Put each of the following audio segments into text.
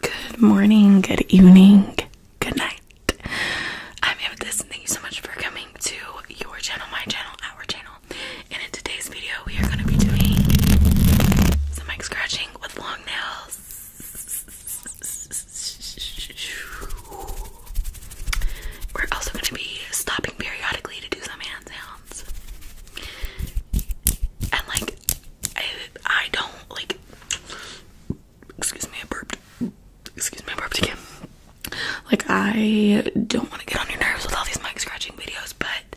Good morning, good evening, good night. I'm Amethyst and thank you so much for coming to your channel, my channel, our channel. And in today's video, we are going to be doing some mic scratching with long nails. We're also going to be stopping periodically to do some hand sounds. And like I, don't like excuse me, I burped. Excuse me, I burped again. Like I don't want to get on your nerves with all these mic scratching videos, but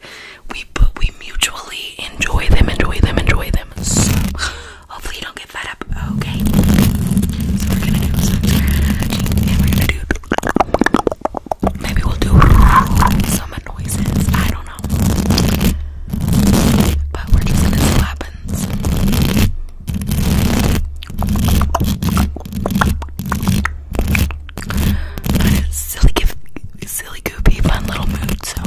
we but we mutually enjoy them, enjoy them, enjoy them. So hopefully you don't get fed up. Okay. So we're gonna do some and we're gonna do Maybe we'll do some noises. I don't know. But we're just gonna see what happens. silly, silly, goopy, fun little mood. So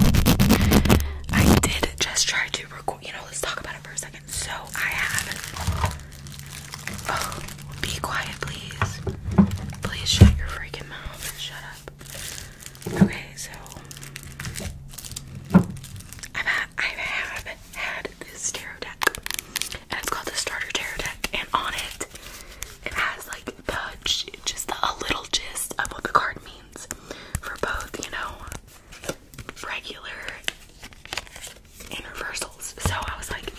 I did just try to record. You know, let's talk about it for a second. So I have Oh, be quiet, please. Please shut your freaking mouth and shut up. Okay, so I've had, I've had, this tarot deck, and it's called the Starter Tarot Deck, and on it, it has like just a little gist of what the card means for both, you know, regular and reverse so I was like,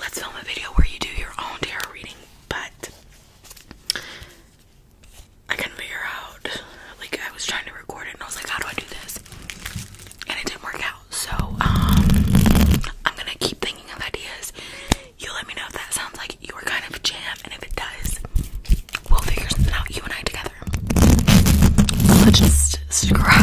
let's film a video where you do your own tarot reading, but I couldn't figure out. Like I was trying to record it, and I was like, how do I do this? And it didn't work out. So um, I'm gonna keep thinking of ideas. You let me know if that sounds like your kind of jam, and if it does, we'll figure something out. You and I together. let's just scratch.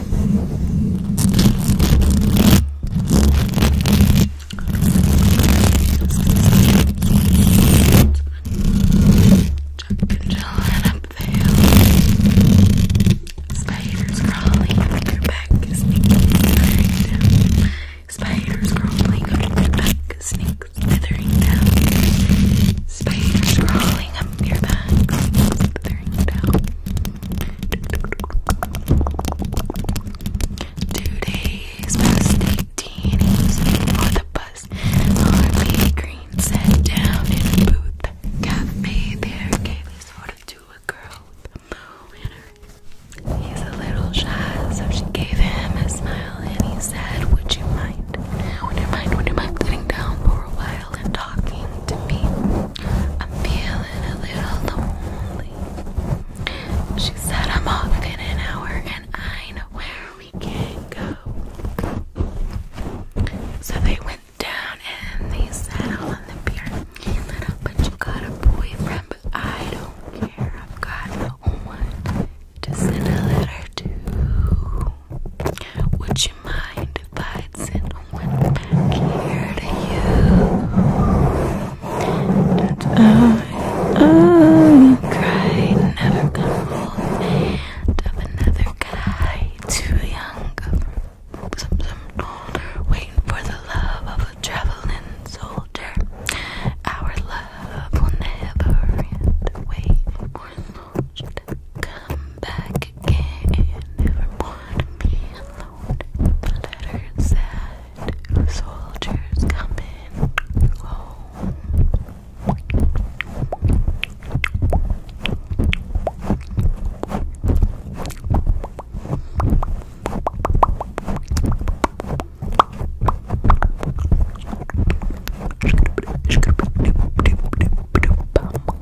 Chuck chillin' up the hill. Spiders crawling up your back, sneaking, slithering down. Spiders crawling up your back, sneak, slithering down. Spider crawling up your back. Figuring it Two days past 18, on the bus. Harley Green sat down in a booth. Cafe there gave his photo to a girl He's a little shy, so she gave him a smile and he said, Would you mind? Would you mind? Would you mind sitting down for a while? while talking to people. I'm feeling a little lonely. She said I'm off in an hour and I know where we can go. So they went down and they sat on the pier. But you got a boyfriend, but I don't care. I've got no one to send a letter to. Would you mind if I sent one back here to you? I, cried, never come old. Of another guy, too young, waiting for the love of a traveling soldier. Our love will never end. Wait come back again. Never more to be alone. The letter said, soldiers coming home.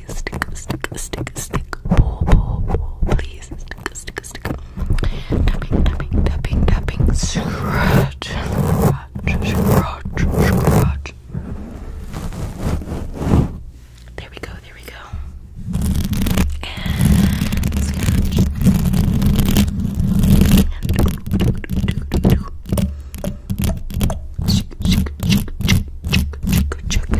please stick, stick, stick, stick, pull, pull, pull, please stick, stick, stick. Tapping, tapping, tapping, tapping, scratch, scratch, scratch, scratch. There we go, there we go. And scratch. And do, do, do, do, do chicken, chicken, chicken. No, no, no,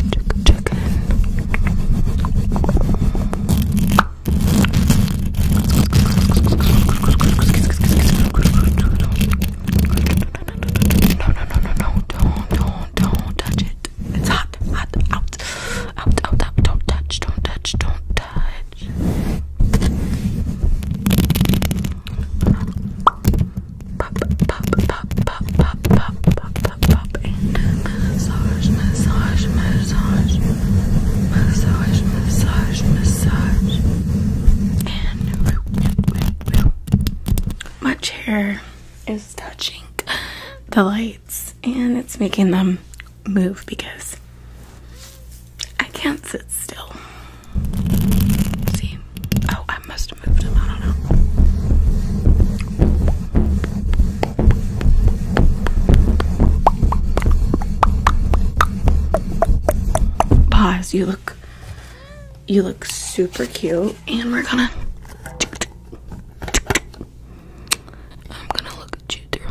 no, no, don't, don't, don't touch it. It's hot, hot, out, out, out, out, don't touch, don't touch, don't touch pop, pop, my chair is touching the lights and it's making them move because I can't sit still. See, Oh, I must have moved them. I don't know. Pause. You look. You look super cute, and we're gonna. I'm gonna look at you through.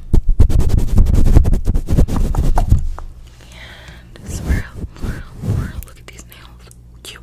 And swirl, swirl, swirl. Look at these nails. Cute.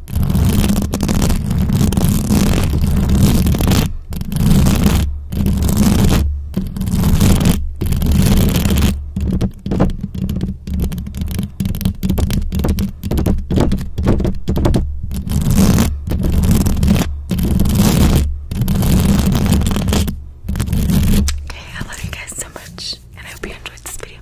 Okay, I love you guys so much, and I hope you enjoyed this video.